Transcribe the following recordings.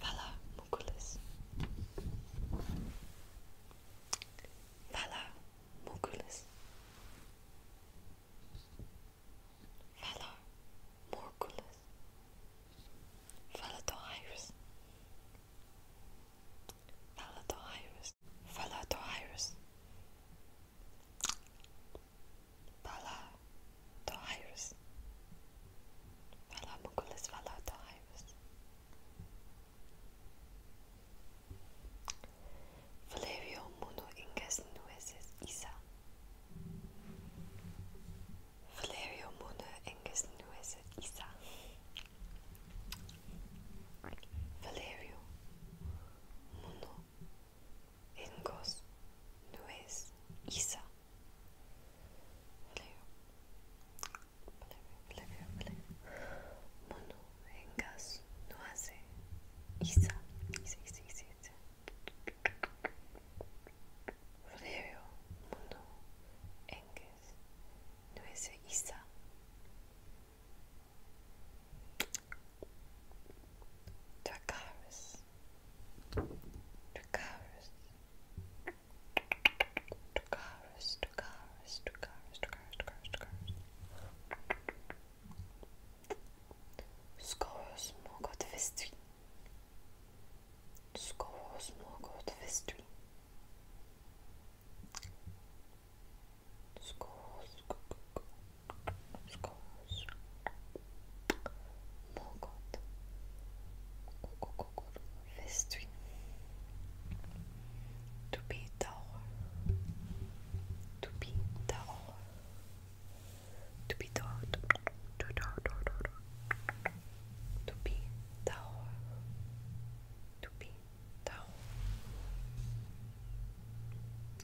Fala, Muculis. Fala, Muculis. Fala, Morculis. Fala do iris. Fala do iris. Fala do iris. Fala Torreiros. Fala Muculas, fala Torreiros. Valerio Muno Ingas Nueces Isa. Valerio Muno Ingas Nueces Isa. Valerio Muno Engos no es Isa. Leo. Valeu, valeu, valeu. Mono Engas no hace Isa. Isa, Isa, Isa, Isa. Leo. Mono Engas no hace Isa. Dracarys. Dracarys. Dracarys. Dracarys. Dracarys. Dracarys. Dracarys. Dracarys. Skoro smogot wystri. Skoro smogot wystri schools, schools, Mogot, Vestry, to be tower, to be tower, to be tower, to be tower, to be tower, to be tower.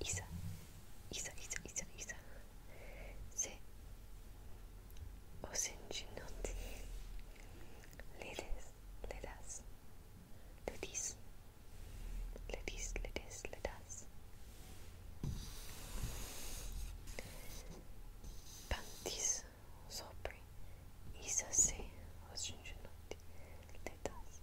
Isa, Isa, Isa, Isa, Isa. Se o sentinote le des, le das, le dis, le dis, le des, le das. Pantis sobre Isa se o sentinote le das.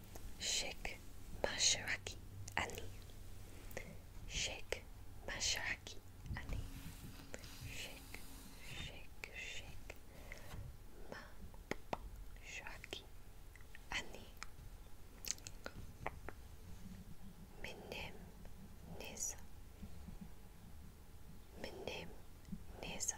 Sheikh Masharaki ani. Sheikh Masharaki ani. Sheikh, Sheikh, Sheikh Masharaki ani. Minim Neza. Minim Neza.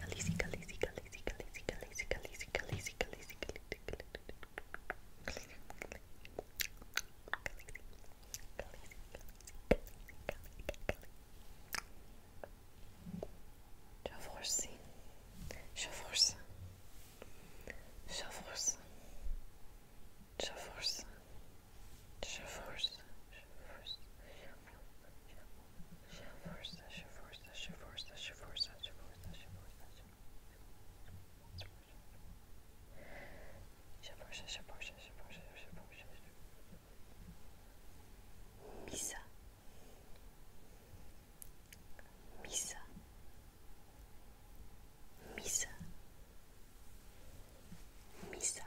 Khaleesi, Khaleesi, Khaleesi, Khaleesi, Khaleesi, Khaleesi, Khaleesi, Khaleesi, Khaleesi, Já força, já força, já força, já força, já força, já força, já força, já força. Shaforsa, Shaforsa, Shaforsa, Shaforsa, Shaforsa, Shaforsa, Shaforsa, Shaforsa, Shaforsa, Shaforsa, Misa, Misa, Misa, Misa. Misa,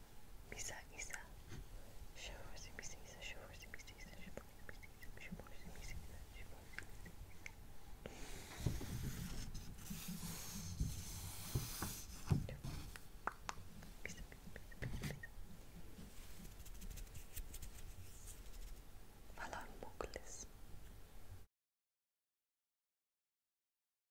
Misa, Isa. Showers, Misa, Isa, showers, Misa, Isa, showers, Misa, Isa, showers, Misa, Isa, showers, Misa, Isa. Falar um pouco disso.